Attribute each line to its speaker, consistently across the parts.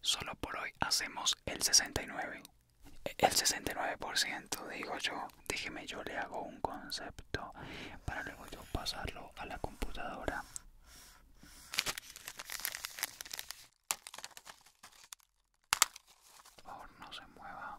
Speaker 1: Solo por hoy hacemos el 69. E, el 69% digo yo, déjeme yo le hago un concepto para luego yo pasarlo a la computadora. Por favor, no se mueva.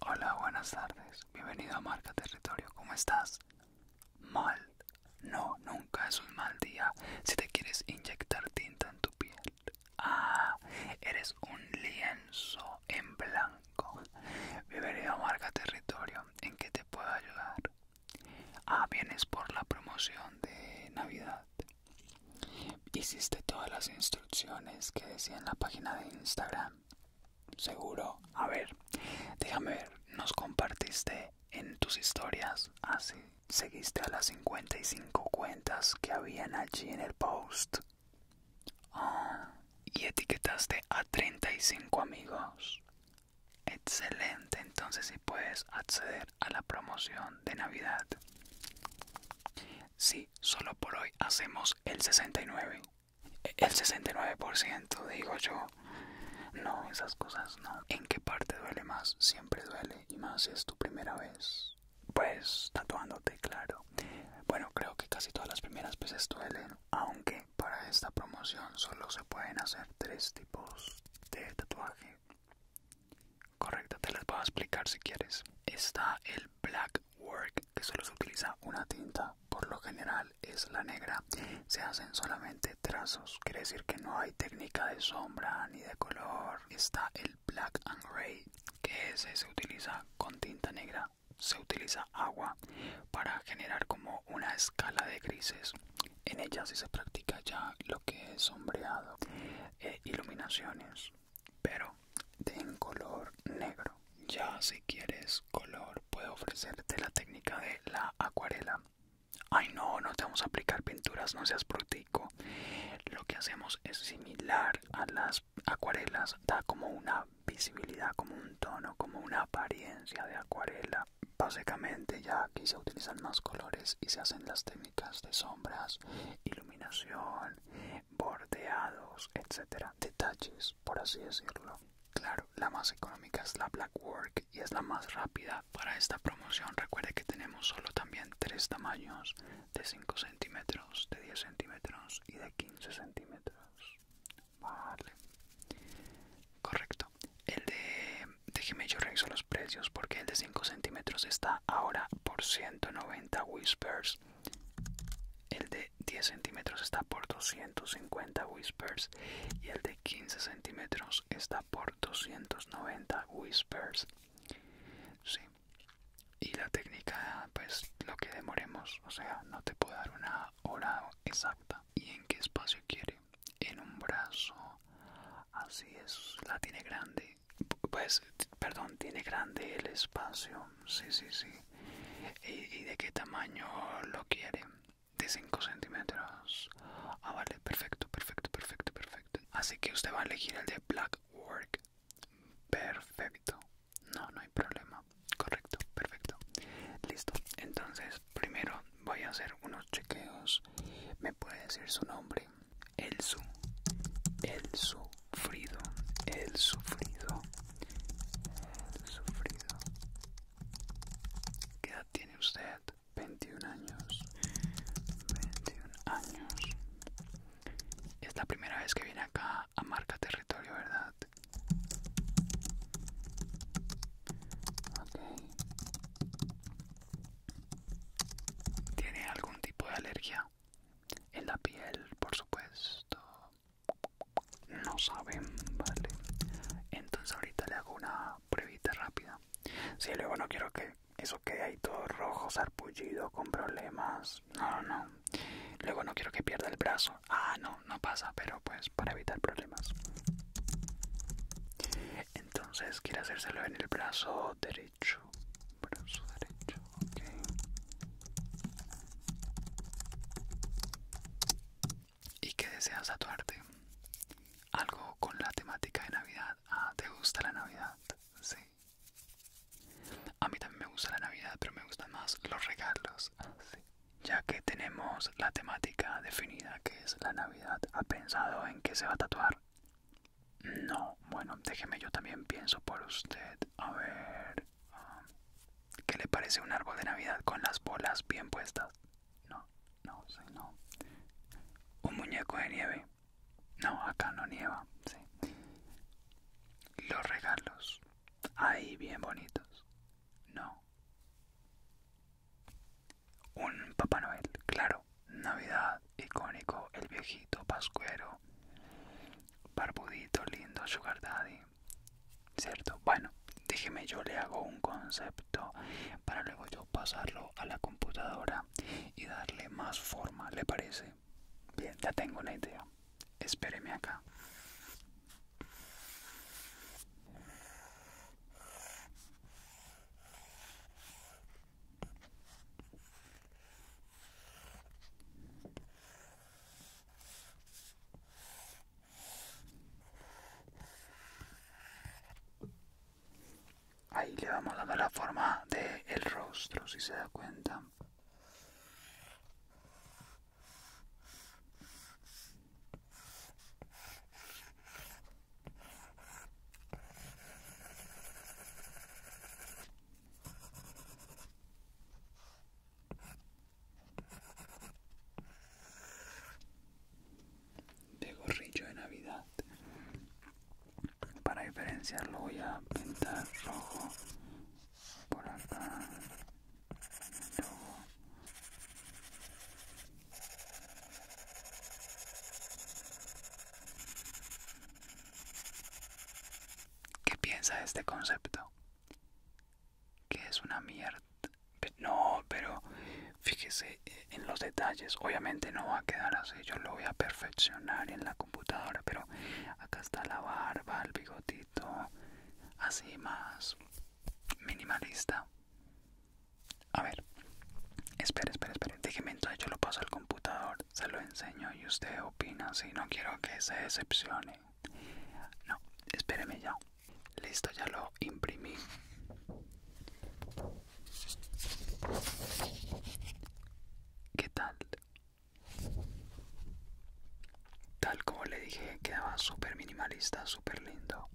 Speaker 1: Hola, buenas tardes. Bienvenido a Marca Territorio. ¿Cómo estás? Mal. No, nunca es un mal día si te quieres inyectar tinta en tu piel. Ah, eres un lienzo en blanco. Bienvenido a Marca Territorio. ¿En qué te puedo ayudar? Ah, vienes por la promoción de Navidad. Hiciste todas las instrucciones que decía en la página de Instagram. Seguro. A ver, déjame ver. Nos compartiste en tus historias. Así. Ah, Seguiste a las 55 cuentas que habían allí en el post. Ah, y etiquetaste a 35 amigos. Excelente, entonces si puedes acceder a la promoción de Navidad. Sí, solo por hoy hacemos el 69. El 69% digo yo. No, esas cosas no. ¿En qué parte duele más? Siempre duele. Y más si es tu primera vez. Pues tatuándote, claro. Bueno, creo que casi todas las primeras veces duelen. Aunque para esta promoción solo se pueden hacer tres tipos de tatuaje. Correcto, te las voy a explicar si quieres. Está el black work, que solo se utiliza una tinta, por lo general es la negra. Se hacen solamente trazos, quiere decir que no hay técnica de sombra ni de color. Está el black and gray, que ese se utiliza con tinta negra. Se utiliza agua para generar como una escala de grises. En ella sí se practica ya lo que es sombreado. E iluminaciones, pero en color negro. Ya si quieres color, puedo ofrecerte la técnica de la acuarela. Ay no, no te vamos a aplicar pinturas, no seas brutico. Lo que hacemos es similar a las acuarelas, da como una visibilidad, como un tono, como una apariencia de acuarela. Básicamente ya aquí se utilizan más colores y se hacen las técnicas de sombras, iluminación, bordeados, etcétera, detalles, por así decirlo. Claro, la más económica es la Blackwork y es la más rápida para esta promoción. Recuerde que tenemos solo también tres tamaños de 5 centímetros, de 10 centímetros y de 15 centímetros. Vale, correcto. El de déjeme yo reviso los precios porque el de 5 centímetros está ahora por 190 whispers el de 10 centímetros está por 250 whispers y el de 15 centímetros está por 290 whispers sí. y la técnica pues lo que demoremos o sea no te puedo dar una hora exacta y en qué espacio quiere en un brazo así es la tiene grande pues, perdón, tiene grande el espacio, sí, sí, sí. ¿Y, de qué tamaño lo quiere? De 5 centímetros. Ah, vale, perfecto, perfecto, perfecto, perfecto. Así que usted va a elegir el de Black Work. Perfecto. No, no hay problema. Correcto, perfecto. Listo. Entonces, primero voy a hacer unos chequeos. ¿Me puede decir su nombre? el su, el sufrido, el sufrido, el sufrido. ¿Qué edad tiene usted? 21 años, 21 años. Es la primera vez que viene acá a marca territorio, ¿verdad? Ok. ¿Tiene algún tipo de alergia? En la piel, por supuesto. No saben, vale. Entonces ahorita le hago una pruebita rápida. Si sí, luego no quiero que eso quede ahí todo rojo, sarpullido, con problemas. No, no. Luego no quiero que pierda el brazo. Ah, no, no pasa, pero pues para evitar problemas. Entonces quiere hacérselo en el brazo derecho derecho, brazo derecho, ¿Y qué deseas tatuarte? Algo con la temática de Navidad. Ah, ¿te gusta la Navidad? Sí. A mí también me gusta la Navidad, pero me gustan más los regalos. Ah, ya que tenemos la temática definida que es la Navidad, ¿ha pensado en qué se va a tatuar? No, bueno, déjeme yo también pienso por usted. A ver, um, ¿qué le parece un árbol de Navidad con las bolas bien puestas? No, no, sí, no. Un muñeco de nieve. No, acá no nieva, sí. Los regalos. Ahí bien bonitos. No. Un Papá Noel, claro. Navidad, icónico, el viejito pascuero, barbudito, lindo, sugar daddy, ¿cierto? Bueno, déjeme yo le hago un concepto para luego yo pasarlo a la computadora y darle más forma, ¿le parece? Bien, ya tengo una idea. Espéreme acá. Ahí le vamos dando la forma del el rostro, si se da cuenta de gorrillo de navidad para diferenciarlo voy a pintar rojo por acá ¿Qué piensa de este concepto? Que es una mierda. No, pero fíjese eh, en los detalles. Obviamente no va a quedar así. Yo lo voy a perfeccionar en la computadora. Pero acá está la barba, el bigotito. Así más minimalista. A ver. Espera, espera, espera. Déjeme entonces yo lo paso al computador se lo enseño y usted opina si no quiero que se decepcione. No, espéreme ya. Listo, ya lo imprimí. ¿Qué tal? Tal como le dije, quedaba súper minimalista, súper lindo.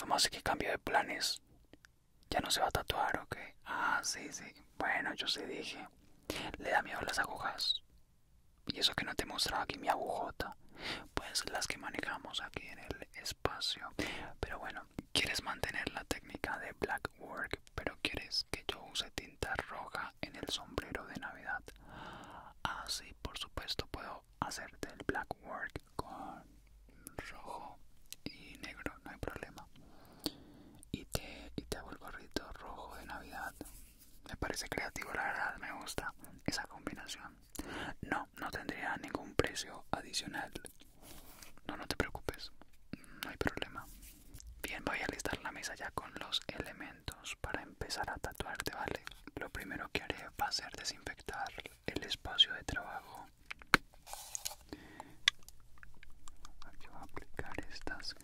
Speaker 1: Vamos a que cambio de planes. Ya no se va a tatuar, ¿ok? Ah, sí, sí. Bueno, yo sí dije. Le da miedo las agujas. Y eso que no te mostraba aquí mi agujota. Pues las que manejamos aquí en el espacio. Pero bueno, quieres mantener la técnica de black work, pero quieres que yo use tinta roja en el sombrero de Navidad. Así, ah, por supuesto, puedo hacerte el black work con rojo y negro, no hay problema. Y te, y te hago el gorrito rojo de Navidad. Me parece creativo, la verdad, me gusta esa combinación. No, no tendría ningún precio adicional. No, no te preocupes, no hay problema. Bien, voy a listar la mesa ya con los elementos para empezar a tatuarte, ¿vale? Lo primero que haré va a ser desinfectar el espacio de trabajo. Aquí voy a aplicar estas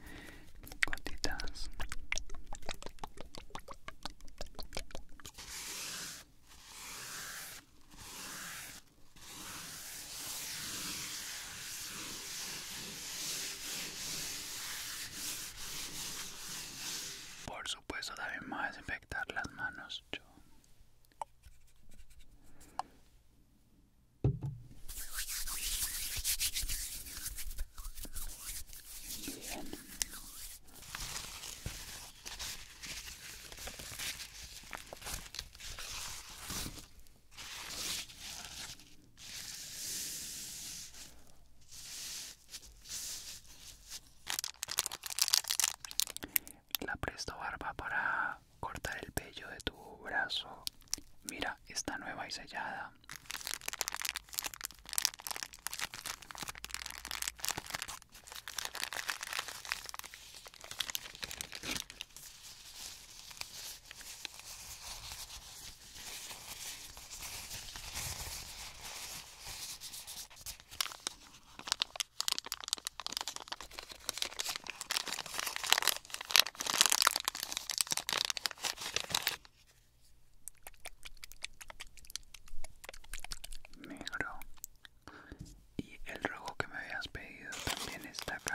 Speaker 1: gotitas. Por supuesto también más a desinfectar las manos la presto barba para cortar el pelo de tu brazo. Mira, está nueva y sellada negro y el rojo que me habías pedido también está acá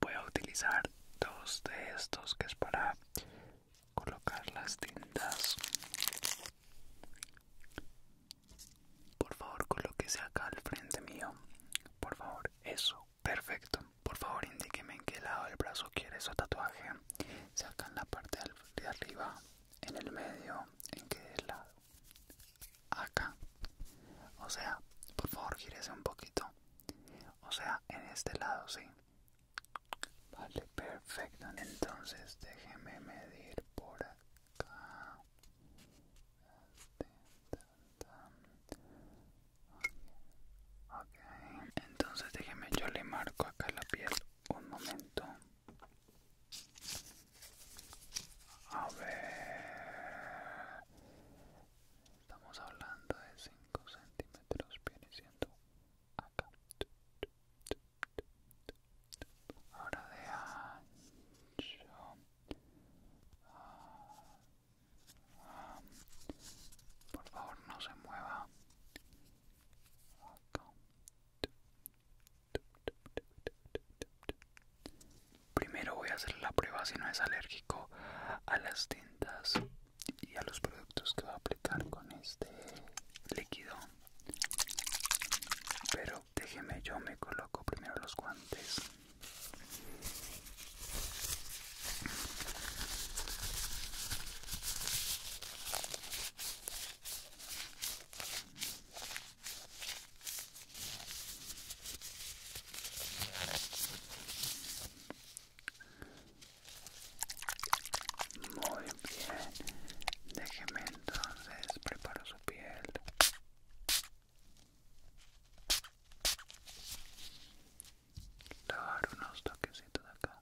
Speaker 1: Voy a utilizar dos de estos que es para colocar las tintas. Por favor, colóquese acá al frente mío. Por favor, eso. Perfecto. Por favor, indíqueme en qué lado del brazo quiere su tatuaje sacan la parte de arriba en el medio en que lado acá o sea por favor gírese un poquito o sea en este lado sí vale perfecto entonces déjeme medir por acá ok entonces déjeme yo le marco acá la piel un momento a ver, estamos hablando de 5 centímetros, viene siendo acá. Ahora de ancho, ah, ah. por favor no se mueva. Primero voy a hacer la prueba si no es alérgico a las tintas y a los productos que va a aplicar con este líquido. Pero déjeme, yo me coloco primero los guantes. Muy bien, déjeme entonces preparo su piel. Dar unos toquecitos acá.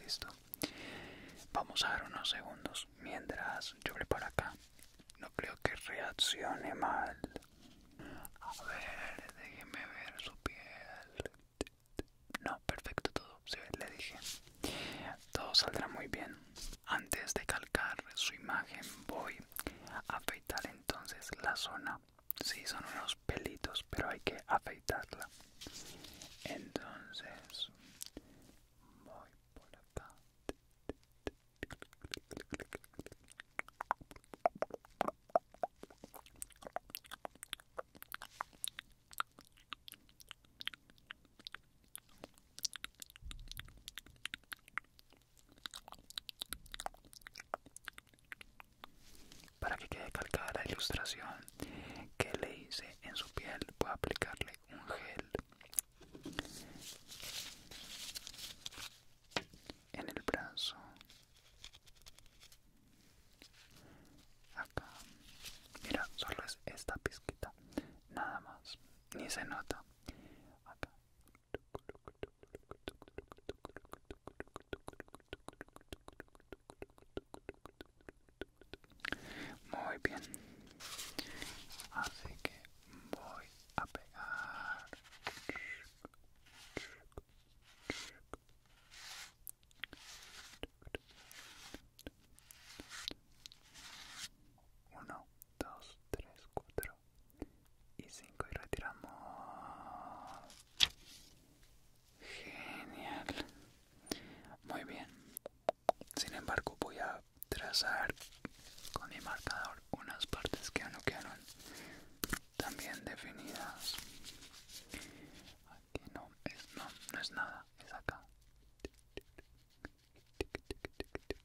Speaker 1: Listo. Vamos a dar unos segundos mientras yo por acá. No creo que reaccione mal. A ver, déjeme ver su piel. No, perfecto todo. ve. le dije. Todo saldrá muy bien. Antes de calcar su imagen voy afeitar entonces la zona sí, son unos pelitos pero hay que afeitarla entonces voy por acá para que quede calcada la ilustración que le hice en su piel, voy a aplicarle un gel en el brazo, acá. Mira, solo es esta pizquita, nada más, ni se nota. Acá, muy bien. Así que voy a pegar. Uno, dos, tres, cuatro y 5 y retiramos. Genial. Muy bien. Sin embargo, voy a trazar con mi marcador unas partes que no quedaron también definidas. Aquí no es, no, es nada, es acá.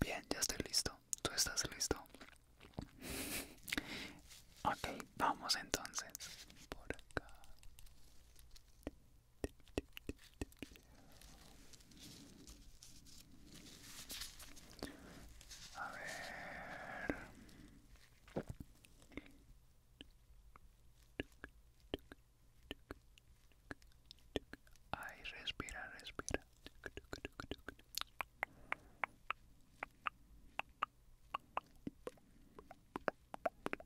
Speaker 1: Bien, ya estoy listo. ¿Tú estás listo? ok, vamos entonces. Por acá. A ver. Ay, respira, respira.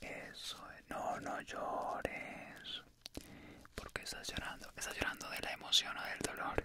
Speaker 1: Eso No, no llores. porque estás llorando? ¿Estás llorando de la emoción o del dolor?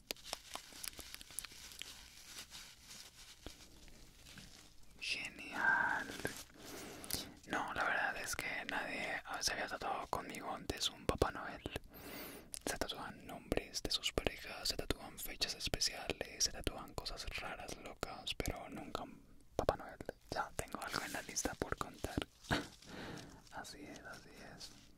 Speaker 1: Genial. No, la verdad es que nadie se había tatuado conmigo antes un Papá Noel. Se tatúan nombres de sus parejas, se tatúan fechas especiales, se tatúan cosas raras, locas, pero nunca un Papá Noel. Ya tengo algo en la lista por contar. así es, así es.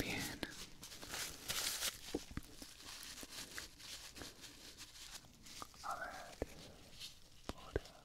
Speaker 1: Bien. A ver, por acá,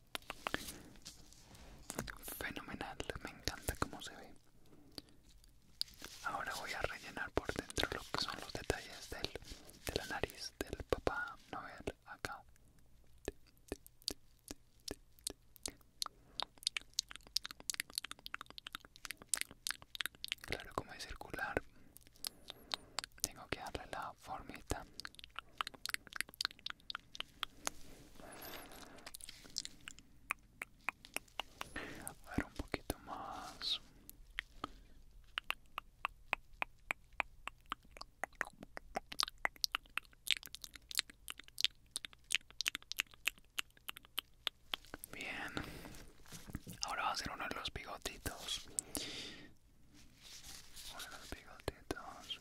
Speaker 1: Fenomenal, me encanta cómo se ve. Ahora voy a rellenar por dentro lo que son los detalles de la nariz del papá Noel acá. Claro, como es circular, tengo que darle la formita a un poquito más. Bien, ahora va a ser uno de los bigotitos. Uno de los bigotitos.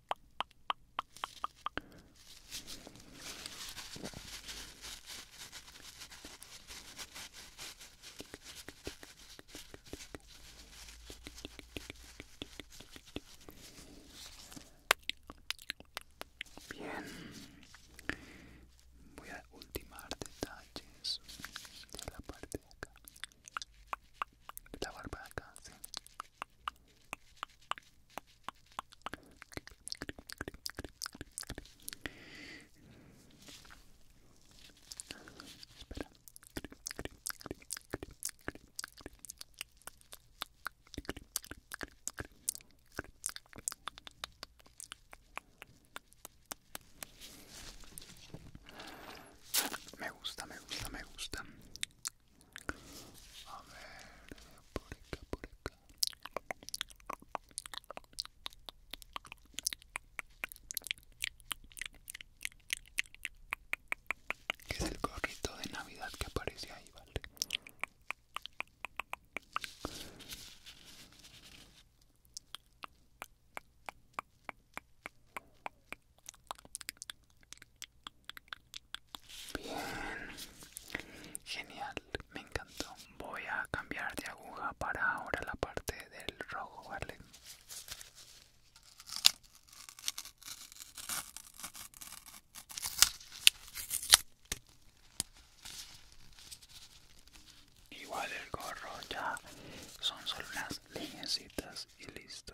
Speaker 1: Bien, voy a ultimar detalles de la parte de acá, de la barba de acá, sí. Me gusta, me gusta, me gusta. A ver, por acá, por acá. es el gorrito de Navidad que aparece ahí, ¿vale? Bien, genial, me encantó. Voy a cambiar de aguja para ahora la parte del rojo, ¿vale? Igual el gorro ya son solo unas líneas y listo.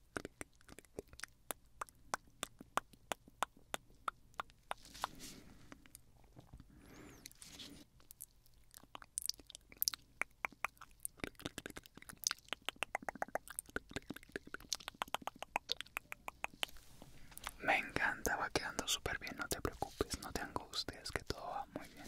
Speaker 1: Me encanta, va quedando súper bien, no te preocupes, no te angusties, que todo va muy bien.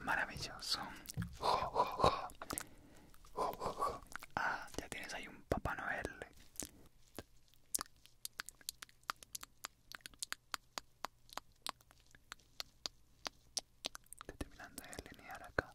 Speaker 1: Maravilloso. Ah, ya tienes ahí un Papá Noel. Terminando de acá.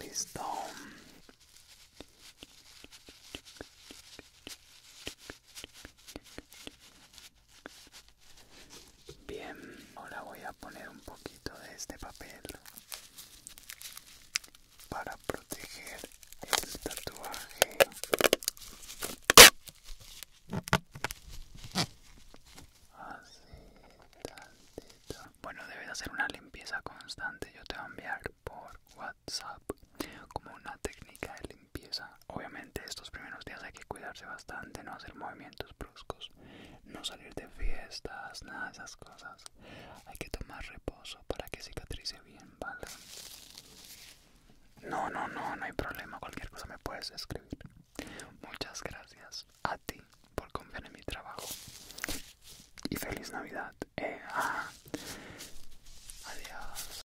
Speaker 1: Listo. Bien, ahora voy a poner un poquito de este papel para proteger el tatuaje. Así, bueno, debes hacer una limpieza constante. Yo te voy a enviar por WhatsApp como una técnica de limpieza. Obviamente estos primeros días hay que cuidarse bastante, no hacer movimientos bruscos, no salir de fiestas, nada de esas cosas. Hay que tomar reposo para que cicatrice bien, ¿vale? No, no, no, no hay problema. Cualquier cosa me puedes escribir. Muchas gracias a ti por confiar en mi trabajo. Y feliz Navidad. Eh, ah, adiós.